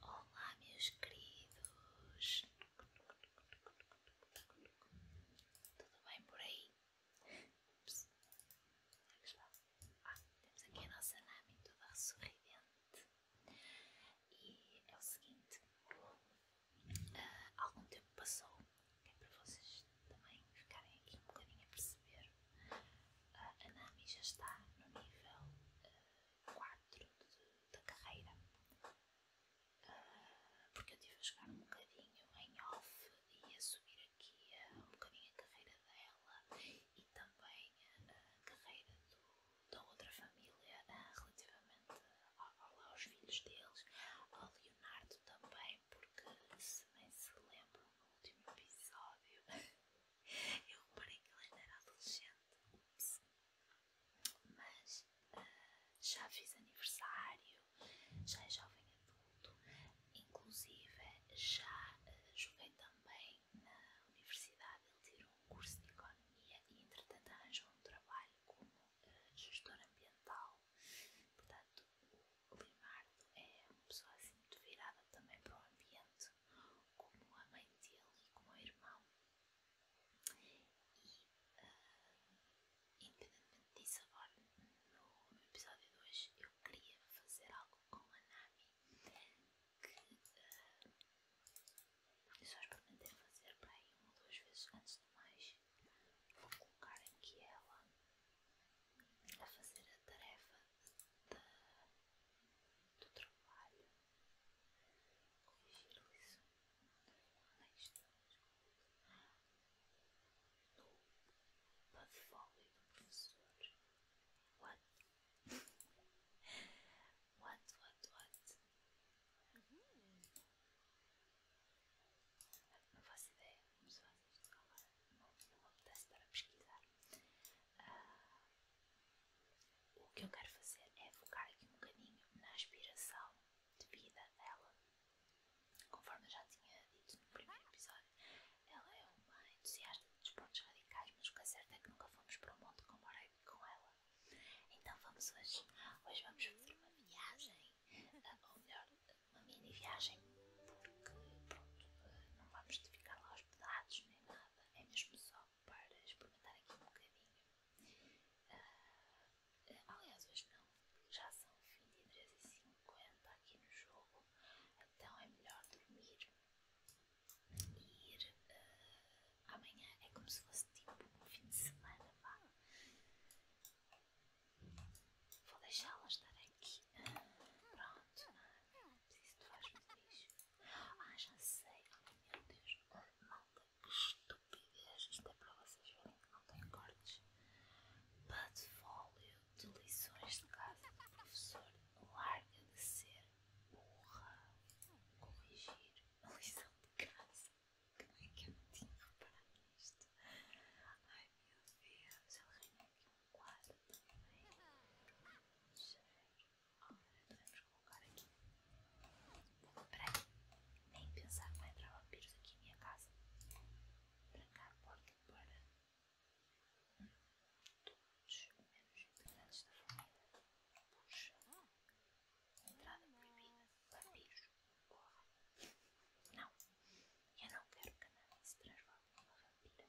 Olá, meus queridos, tudo bem por aí? Ups. É ah, temos aqui a nossa Nami toda sorridente. E é o seguinte: uh, algum tempo passou, é para vocês também ficarem aqui um bocadinho a perceber. Ah, a Nami já está no nível ah, 4 da carreira, ah, porque eu tive a jogar um bocadinho em off e a subir aqui uh, um bocadinho a carreira dela e também a carreira da outra família ah, relativamente aos filhos deles, ao Leonardo também, porque se bem se lembram no último episódio Eu reparei que ele ainda era adolescente. Mas ah, já fiz aniversário, já é jovem adulto, inclusive já ah, joguei também na universidade. Ele tirou um curso de economia e, entretanto, arranjou um trabalho como ah, gestor ambiental. Portanto, o Limardo é uma pessoa assim muito virada também para o ambiente como a mãe dele e como o irmão. E, ah, independentemente disso, agora no episódio de hoje eu queria fazer algo com a Nami que uh, eu só experimentei fazer para aí uma ou duas vezes antes de mais. Vou colocar aqui ela a fazer a tarefa da do trabalho, corrigir isso nas duas no portfólio do professor. What? what, what, what? Uhum. Não faço ideia como se faz isto agora. Não, não me apetece para pesquisar. Uh, o que eu quero fazer é focar aqui um bocadinho na aspiração de vida dela. Conforme eu já tinha dito no primeiro episódio, ela é uma entusiasta de desportos radicais, mas o que é certo é que nunca fomos para o um monte comparado com ela. Então vamos hoje. Hoje vamos fazer uma viagem, eh, ou melhor, uma mini viagem, porque pronto, eh, não vamos ficar lá hospedados nem nada, é mesmo só para experimentar aqui um bocadinho. Ah, aliás, hoje não, já são 23h50 aqui no jogo, então é melhor dormir e ir ah, amanhã. É como se fosse tipo um fim de semana, vá. Vou deixá-la estar aqui. Uh, pronto mas isso faz feliz. Ah, já sei. meu Deus, oh, malta, que estupidez. Isto é para vocês verem que não tem cortes. Patfólio de lições de casa do professor. Larga de ser burra. Corrigir a lição de casa. Como é que eu não tinha reparado nisto? Ai meu Deus, ele arranhou aqui um quadro também. Cheiro. Agora vamos colocar aqui. Vou comprar Nem pensar que vai entrar vampiros aqui em minha casa. Trancar a porta para todos, menos integrantes da família. Puxa. Entrada proibida. Vampiros. Corra. Não. Eu não quero que a Nani se transforme em uma vampira.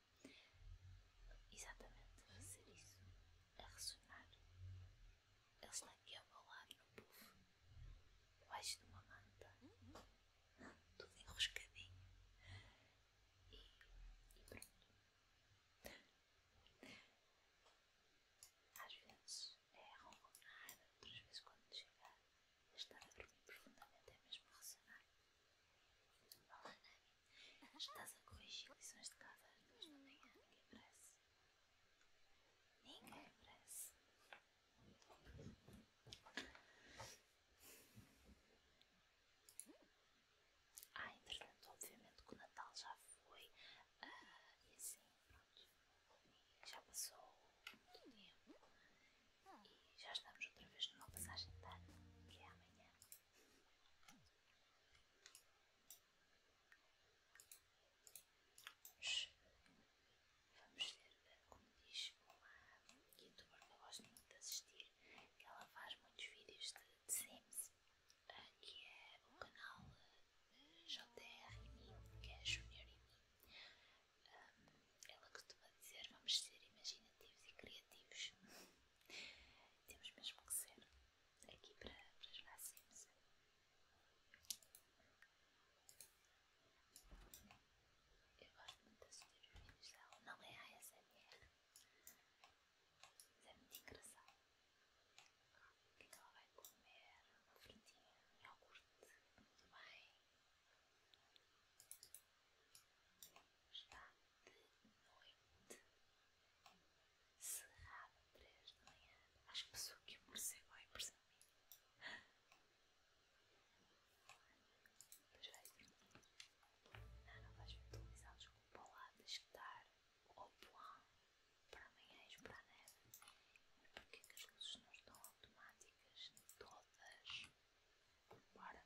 Exatamente, vai ser isso. A ressonar. Ele está aqui ao meu lado no puff. Debaixo de uma manta. Tudo enroscadinho. E, pronto. Às vezes é ronronar, outras vezes quando chegar a estar a dormir profundamente é mesmo ressonar. Olá, Nani. Estás a corrigir lições de casa às da manhã? Ninguém merece. Ninguém merece. Ah, entretanto, obviamente que o Natal já foi. Ah, e assim, pronto. E já passou muito tempo. E já estamos outra vez numa passagem de ano, que é amanhã. Vamos ver como diz uma youtuber que eu gosto muito de assistir, que ela faz muitos vídeos de, Sims, ah, que é o canal ah, JR e mim, que é Junior e mim. Um, ela costuma dizer vamos ser imaginativos e criativos. Temos mesmo que ser aqui para, para jogar Sims. Eu gosto muito não é a é ASMR, é muito engraçado. O que é que ela vai comer? Uma frutinha, de iogurte, muito bem está de noite, cerrada 3 de manhã. Acho que pensou que o morcego é por Perfeito. Não, não vais ver televisão, desculpa lá, tens que dar ao plano para amanhã para a neve. Porque é que as luzes não estão automáticas todas? Bora.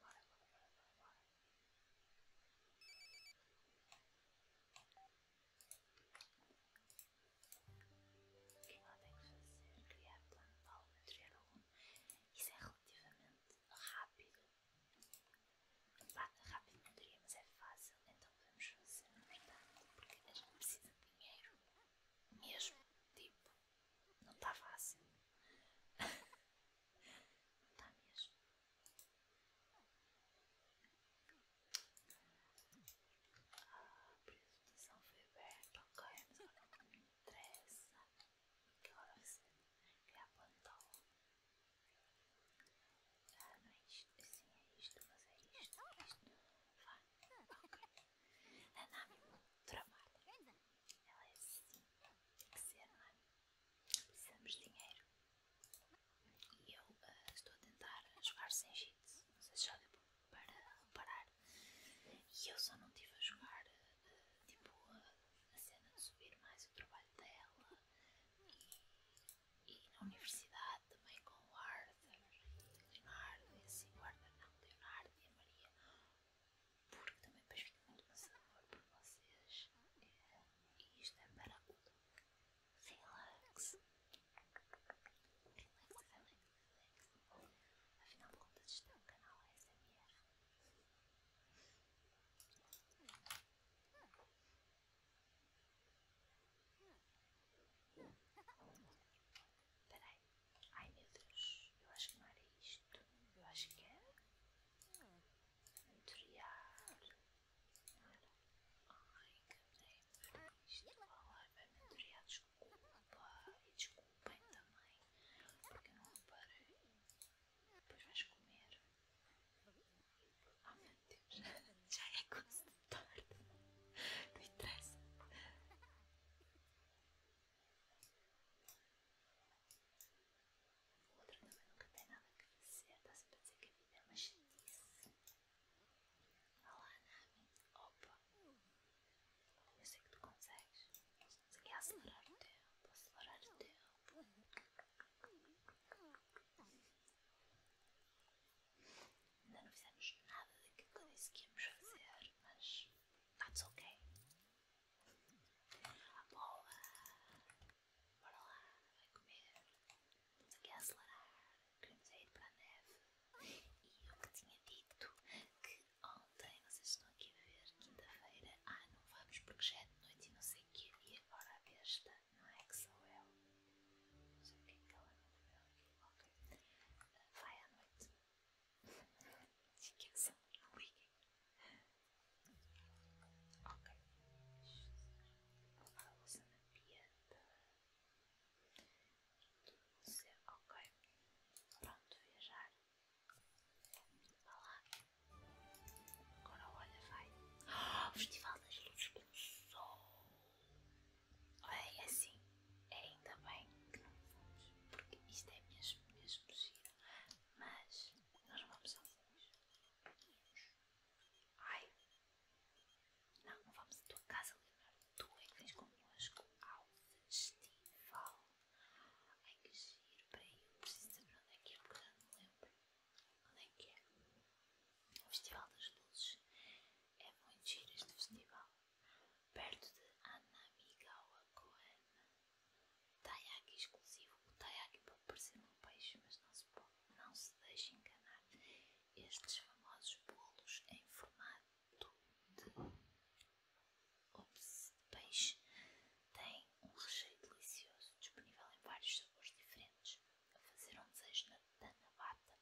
Bora, bora, bora, bora, O que ela tem que fazer? É criar plano de aula, criar aluno. Isso é relativamente rápido. rápido não diria, mas é fácil. Então podemos fazer, não portanto, é porque a gente precisa de dinheiro. Mesmo, tipo, não tá fácil. Não tá mesmo. Ah, a apresentação foi bem ok, mas agora não interessa. Que hora você é a plantou? Ah, não é isto, assim é isto, mas é isto, é Nanami tramada. Ela é assim. Tem que ser, não Precisamos de dinheiro. E eu estou a tentar jogar sem cheat. Não sei se já deu para reparar. E eu só não estive a jogar uh, tipo a cena de subir mais o trabalho dela. E, na universidade também com o Arthur, Leonardo e assim, o Arthur não, Leonardo e a Maria porque também depois fica muito cansador para vocês. É, e isto é para o look relax. Relax, relax, relax. Afinal de contas, isto é um canal SMR Peraí. Ai meu Deus. Eu acho que não era isto. Eu acho que é Mentorear. Não Ai, cadê? Isto lá vai mentorear. Desculpa. E desculpem também. Porque eu não reparei. Depois vais comer. Ah, meu Deus. Já é quase tarde. Não interessa. Outra também nunca tem nada que dizer, está-se a dizer que a vida é uma chatice. Olá, Nami. Opa! Eu sei que tu consegues. Estamos aqui acelerar o tempo, acelerar o tempo. Ainda não fizemos nada daquilo que eu que íamos fazer, mas está-se ok. Boa! Bora lá, vai comer. Estamos aqui a acelerar. Queremos ir para a neve. E eu que tinha dito que ontem, vocês estão aqui a ver, quinta-feira, ah, não vamos porque já é de noite e não sei o que. E agora a besta, não é que sou eu. Não sei o que é que ela não comeu. Ok. Vai à noite. Esqueçam, não liguem. Ok. A luz na pieta. Ok. Pronto, viajar. Vá lá. Agora olha, vai. Festival das Luzes do Sol. É assim. É ainda bem que não fomos, porque isto é mesmo, possível mas nós vamos ao fundo. Ai, não, não vamos à tua casa, Leonardo, tu é que vens connosco ao festival. Ai que giro, peraí, eu preciso saber onde é que é, porque já não lembro. Onde é que é? O Festival das Luzes. É muito giro este festival perto de Anamigawa Koen. Taiyaki exclusivo. O taiyaki pode parecer um peixe, mas não se, deixe enganar. Estes famosos bolos em formato de peixe têm um recheio delicioso, disponível em vários sabores diferentes. A fazer um desejo na Tanabata,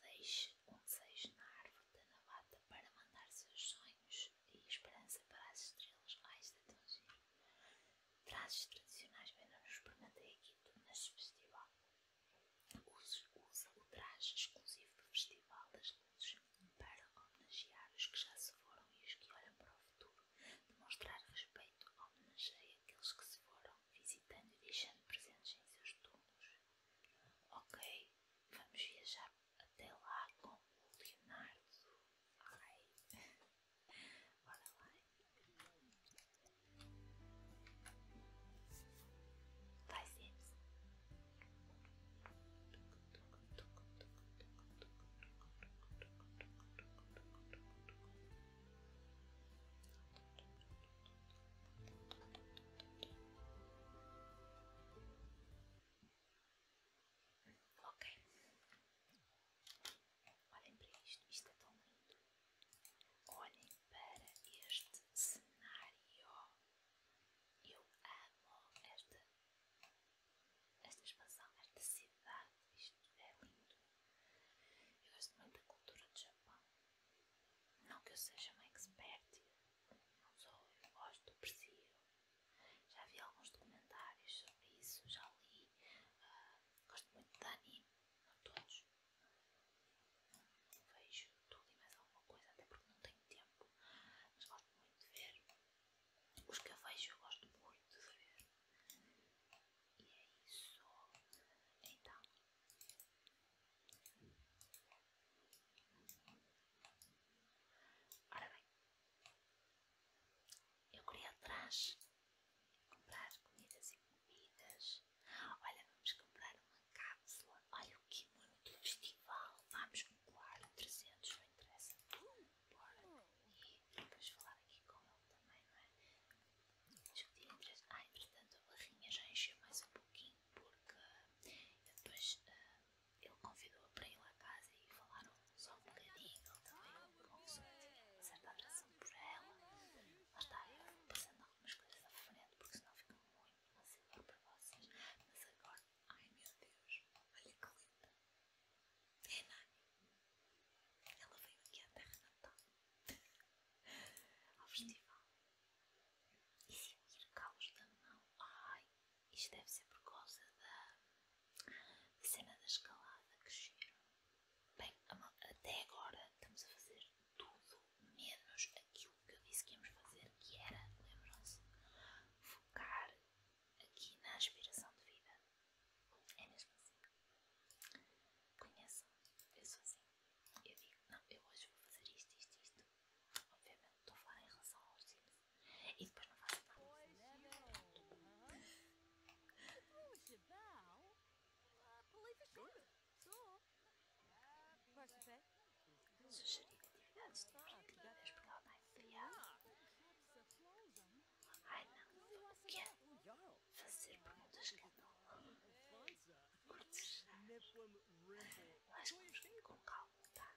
deixe um desejo na árvore da Tanabata para mandar seus sonhos e esperança para as estrelas mais de é atingir. Trajes tradicionais vendem-nos permanentemente neste festival. Usa, o traje exclusivo do Festival das Luzes para homenagear os que já se foram e os que olham para o futuro. Demonstrar respeito homenagear aqueles que se foram, visitando e deixando presentes em seus túmulos. Ok, vamos viajar até lá com o Leonardo. Ai, bora lá. Vai ser. Ok. Olhem para isto. Isto é tão lindo. Olhem para este cenário. Eu amo esta, esta expansão, esta cidade. Isto é lindo. Eu gosto muito da cultura do Japão. Não que eu seja uma expert. Não sou. Eu gosto, aprecio. Já vi alguns documentários sobre isso, já li, ah, gosto muito de anime, não todos. vejo tudo e mais alguma coisa, até porque não tenho tempo, mas gosto muito de ver. Os que eu vejo eu gosto muito de ver. E é isso. Então. Ora bem, eu queria atrás comprar comidas e comidas. Olha, vamos comprar uma cápsula. Olha o que mano do festival. Vamos comprar 300, não interessa. Hum, E depois falar aqui com ele também, não é? Discutir entre. Ah, entretanto a barrinha já encheu mais um pouquinho porque eu depois. Ah, ele convidou-a para ir lá à casa e falaram só um bocadinho. Ele também começou a ter uma certa atração por ela. Mas está, eu vou passando algumas coisas à frente porque senão fica muito massivo para vocês. Mas agora, ai meu Deus, olha que linda! É Nani. Ela veio aqui à Terra Natal ao festival. E se ir calos da mão, ai, isto deve ser por causa da, cena da escalada que giro. Bem, até agora estamos a fazer tudo menos aquilo que eu disse que íamos fazer, que era, lembram-se, focar aqui na aspiração de vida. É mesmo assim. Conheçam, eu sou assim. Eu digo, não, eu hoje vou fazer isto, isto, isto. Obviamente estou a falar em relação aos Sims. E depois não faço nada. Sugerir atividades divertidas porque ela está enfriada. Ai não, o que assim. é Fazer perguntas que não. Curtes. Mas vamos com calma, tá?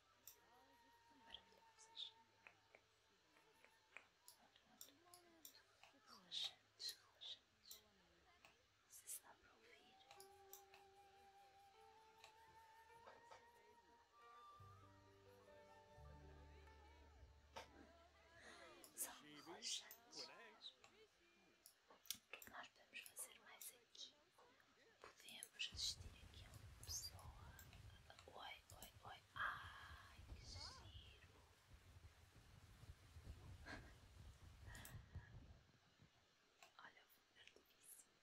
maravilhosas, relaxantes, relaxantes. Você está para ouvir? São relaxantes. O é que nós podemos fazer mais aqui? podemos assistir aqui a uma pessoa. Oi, oi, oi. Ai, que giro! Olha, eu vou ver do vizinho.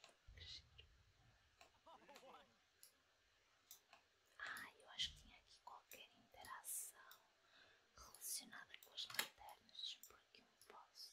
Que giro. Ai, eu acho que tinha aqui qualquer interação relacionada com as lanternas. por que não posso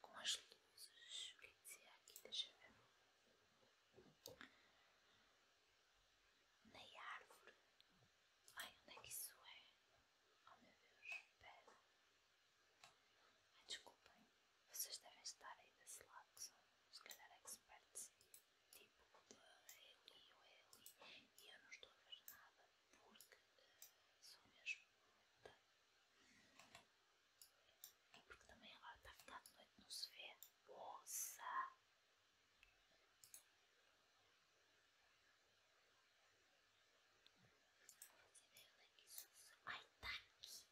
com as luzes. O que dizia é aqui? Deixa eu ver. Na árvore. Ai, onde é que isso é? Oh meu Deus, espera. Ai, desculpem. Vocês devem estar aí desse lado, que são se calhar experts tipo de é Eli ou Eli. É e eu não estou a ver nada porque são só mesmo de e porque também agora está a ficar de noite, não se vê. Poça! Não que isso Ai, está aqui!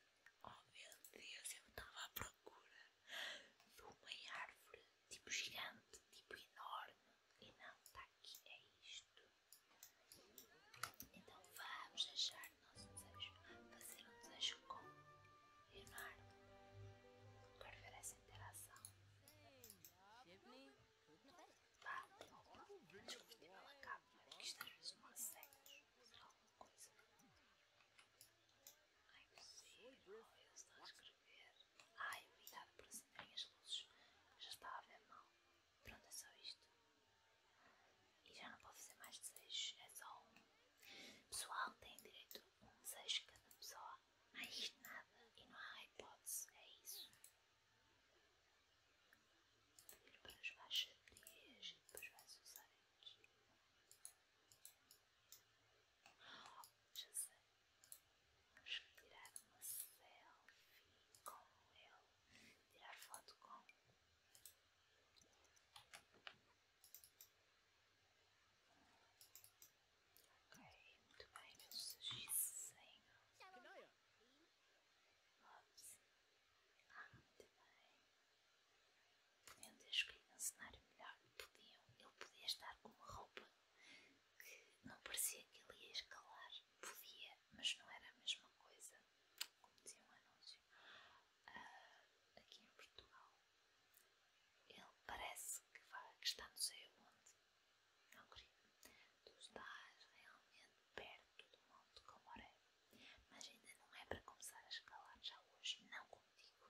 Oh meu Deus, eu estava à procura de uma árvore tipo gigante, tipo enorme. E não, está aqui, é isto. Então vamos deixar o nosso desejo, fazer um desejo com Leonardo para ver essa interação. Pá, tem um pouco, mas curti pela capa, porque isto às vezes não há será alguma coisa. Ai, que giro, eles estão a escrever. Ai, obrigado por acenderem as luzes, já estava a ver mal. Pronto, é só isto. E já não posso fazer mais desejos, é só um. Pessoal, tem direito um desejo cada pessoa. Mais nada e não há hipótese, é isso. Ir para os baixas frias e depois vais usar aqui. Oh, já sei. Vamos tirar uma selfie com ele tirar foto com ok, muito bem, meu sujeito Ops. Ah, muito bem. Podiam ter escolhido um cenário melhor. que Podiam. Ele podia estar com uma roupa que não parecia que ele ia escalar podia, mas não era a mesma coisa, como dizia um anúncio, ah, aqui em Portugal. Ele parece que, vai, que está não sei onde, não querido, tu estás realmente perto do Monte Comoré, mas ainda não é para começar a escalar já hoje, não contigo.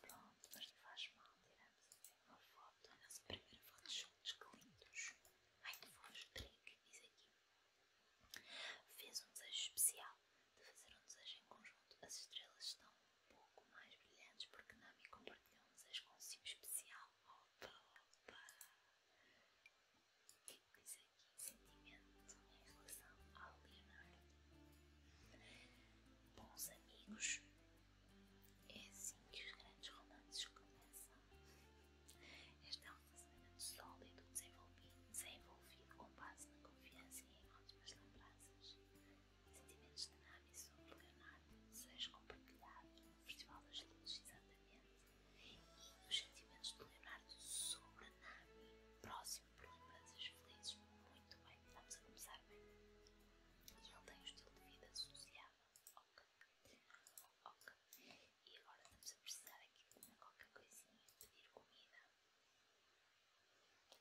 pronto, mas não faz mal tirar Vamos ver uma foto, a nossa primeira foto juntos, que lindos. Ai que fofos, Drake, isso aqui. Fez um desejo especial de fazer um desejo em conjunto. As estrelas estão um pouco mais brilhantes porque Nami compartilhou um desejo consigo especial. Opa, opa! O que diz aqui? Sentimento em relação ao Leonardo. Bons amigos é assim que os grandes romances começam. Este é um relacionamento sólido, desenvolvido, com base na confiança e em ótimas lembranças. Sentimentos de Nami sobre Leonardo, desejos compartilhados no Festival das Luzes, exatamente, e os sentimentos de Leonardo sobre Nami, próximo por lembranças felizes. Muito bem, vamos a começar bem. E ele tem o estilo de vida associável ok, ok, e agora vamos a precisar aqui de uma qualquer coisinha, pedir comida,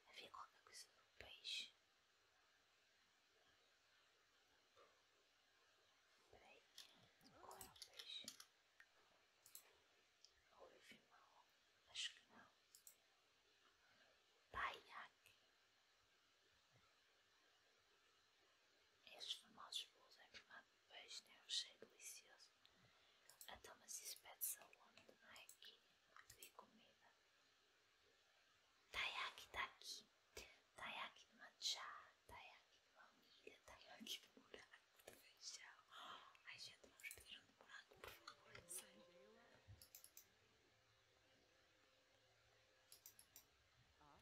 havia qualquer coisa do peixe, espera aí, qual é o peixe? Ou eu vi mal, acho que não, Paiaque, esses famosos bolos é formato de peixe né? têm um cheiro delicioso. Então, mas isso pede-se aonde? Não é comida. Taiyaki está aqui. Taiyaki de matcha, taiyaki de baunilha, taiyaki de morango, de feijão. Ai, gente, vamos pedir um de morango, por favor, é sério. Ah,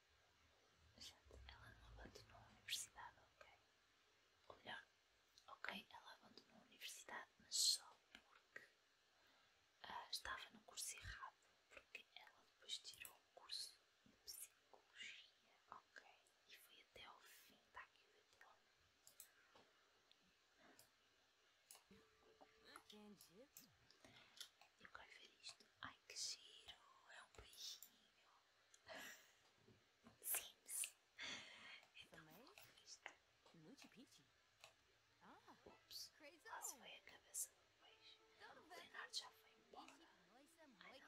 Gente, ela não abandonou a universidade, ok? Ou ok, ela abandonou a universidade, mas só porque ah, estava no curso errado, porque ela depois tirou o curso de psicologia, ok? E foi até ao fim, está aqui o diploma. Então. Eu quero ver isto. Ai que giro! É um beijinho. Sims. Também? Luchi Pichi. Ah, ups. Quase foi a cabeça do peixe. O Leonardo já foi embora. Ai,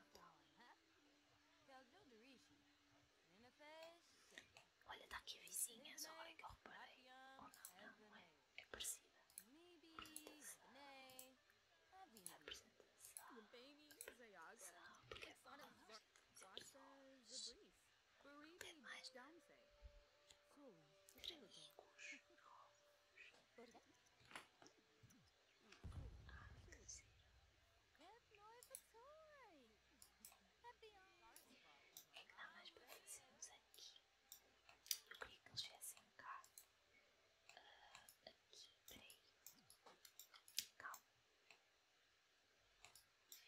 não dá. Olha, tá aqui vizinhas, agora que eu reparei. Ou oh, não, não, não é. É parecida. Maybe, a minha apresentação. São programas desenvolvidos por demais gringos novos. aqui. Eu queria é que eles viessem cá uh, ah, a aqui, peraí. Calma.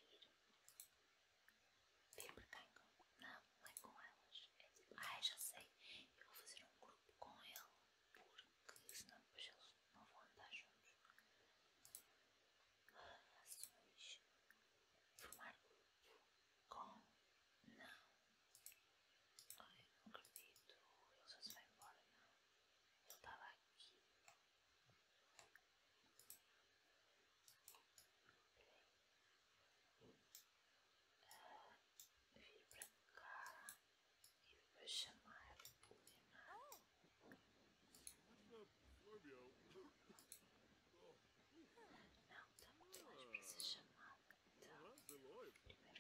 Viro. Viro pra cá então. Não, não é com elas. É ah, já sei. Eu vou fazer um grupo com ele. Porque senão depois eles não vão andar juntos. Ações. Formar grupo com. Não. Ai, não acredito. Ele já se vai embora, não. Ele estava aqui. vim vir para cá e depois chamar o Leonardo. Não, está muito longe para ser chamado. Então, primeiro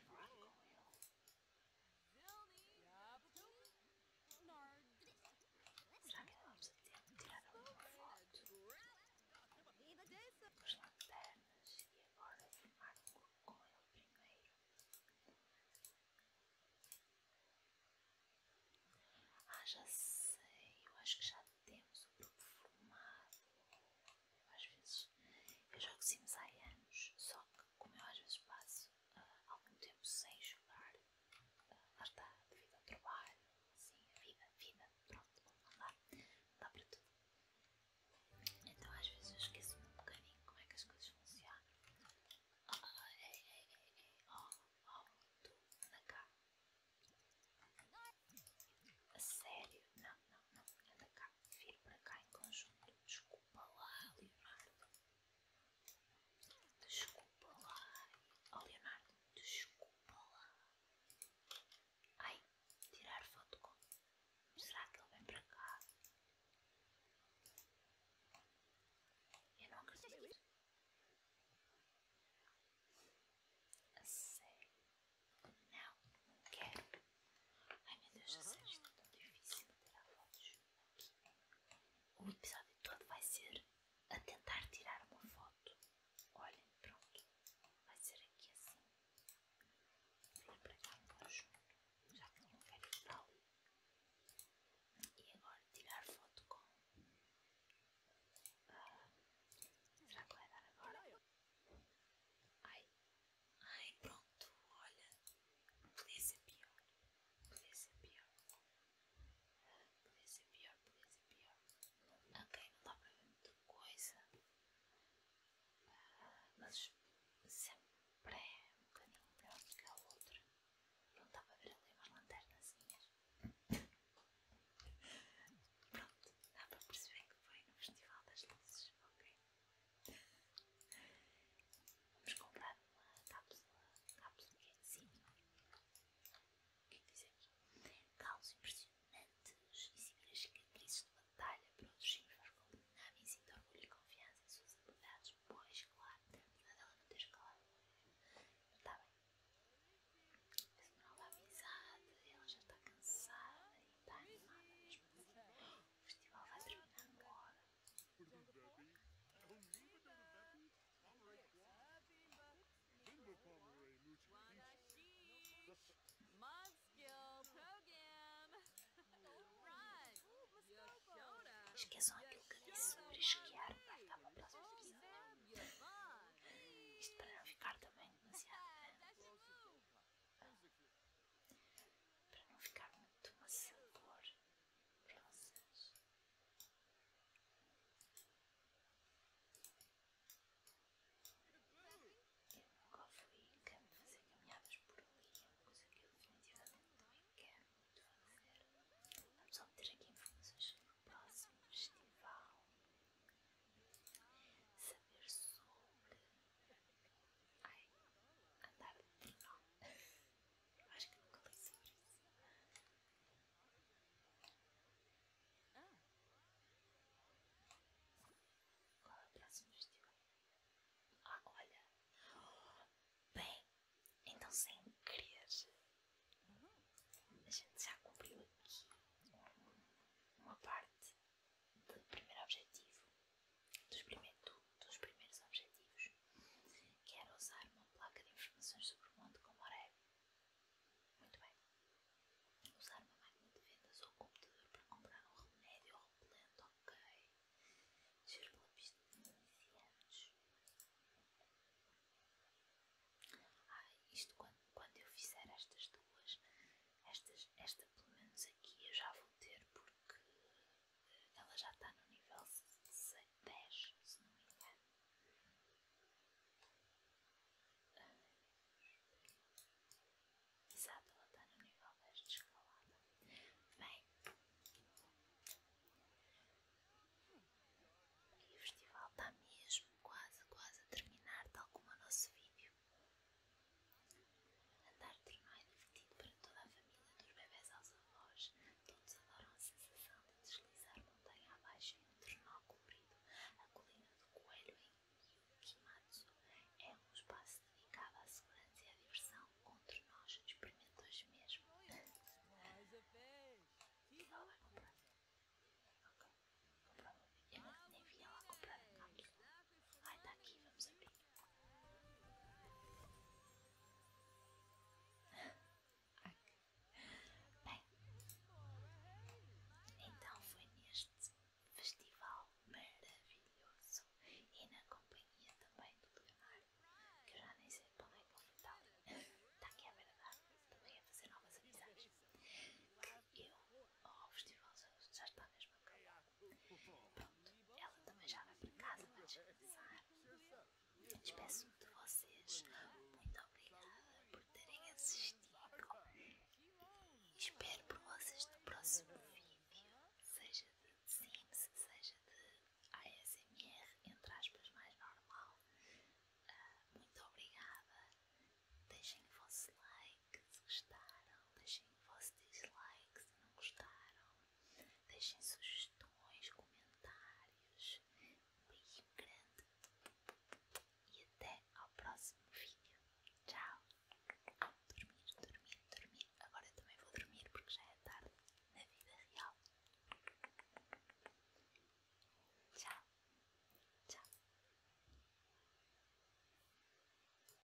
falar com ele. Será que não vamos tirar alguma foto com as lanternas e agora filmar com ele primeiro? Ah, já sei, eu acho que já temos o grupo formado às vezes. Eu jogo Sims há anos, só que como eu às vezes passo ah, algum tempo sem jogar, uh, lá está, devido ao trabalho, assim, a vida, a vida, pronto, vamos lá dá para tudo. Então às vezes eu esqueço um bocadinho como é que as coisas funcionam. Oh, ei, ei, ei, ei, oh, oh, tu, anda cá. A sério? Não, não, não, anda é cá pá, vir para cá em conjunto. Desculpa lá, Leonardo. Desculpa lá. Oh, Leonardo, desculpa lá. Ai, tirar foto com. Será que ele vem para cá? Eu não acredito. A sério? Não, não quero. Ai meu Deus do céu, está tão difícil tirar fotos O episódio todo vai ser a tentar tirar uma foto. Olhem, pronto. Vai ser aqui assim. Vou para cá um junto. Já tinha um velho tal. E agora tirar foto com. Ah, será que vai dar agora? Ai, Ai, pronto, olha. Podia ser pior. Podia ser pior. Podia ser pior, podia ser pior. Ok, não dá para ver muita coisa. Ah, mas sempre é um bocadinho melhor do que a outra. Não dá para ver ali umas lanternazinhas. Pronto, dá para perceber que foi no Festival das Luzes, ok? Vamos comprar uma cápsula, cápsula que é O que é que diz aqui? Calos impressionantes e as cicatrizes de batalha para outros chifres com dinâmica e orgulho e confiança em suas habilidades. Pois, claro, apesar dela não ter escalado está bem. não nova amizade, ela já está cansada e está animada mesmo assim. O festival vai terminar agora. Esqueçam aquilo que disse sobre esquiar, para ficar para a próxima Isto para não ficar também demasiado para não ficar muito a sabor para vocês. Eu nunca fui em campo fazer caminhadas por ali, é uma coisa que eu definitivamente não é quero muito fazer. Vamos obter aqui informações sobre o próximo festival, saber sobre Ai, andar de trenó. Eu acho que nunca li sobre isso. Qual é o próximo estilo? Ah, olha! Bem, então sem querer, a gente já cumpriu aqui uma parte do primeiro objetivo, dos, primeiros objetivos, quero usar uma placa de informações sobre o mundo como Oreb. Muito bem. Usar uma máquina de vendas ou um computador para comprar um remédio ou repelente, ok. Giro pela pista de iniciantes. Ah, isto quando, quando eu fizer estas duas, estas, esta pelo menos aqui eu já vou ter porque ela já está no nível 10, se não me engano. Exato, ela está no nível 10 de escalada. Bem, e o festival está mesmo quase, quase a terminar, tal como o nosso vídeo. Andar de tramai é divertido para toda a família, dos bebés aos avós. Todos adoram a sensação de deslizar montanha abaixo em um trenó comprido. A colina do coelho em Yukimatsu é um espaço dedicado à segurança e à diversão, onde nós experimenta hoje mesmo. E ela vai comprar. Ok, comprou. Eu nem vi ela comprar a cápsula. Ai, tá aqui, vamos abrir. Bem, então foi neste festival maravilhoso e na companhia também do Leonardo, que eu já nem sei para onde é que ele foi tal. Está aqui à beira da também então a fazer novas amizades. Que eu, oh, o festival já, já está mesmo acabado Pronto, ela também já vai para casa, vai descansar. Eu despeço de vocês. Muito obrigada por terem assistido. Espero por vocês no próximo vídeo, seja de Sims, seja de ASMR, entre aspas, mais normal. Ah, muito obrigada. Deixem o vosso like que se gostaram, deixem vosso dislike se não gostaram, deixem sugestões, comentários. Um beijo grande e até ao próximo vídeo. Tchau! Dormir, dormir, dormir. Agora também vou dormir porque já é tarde na vida real. Tchau! Tchau!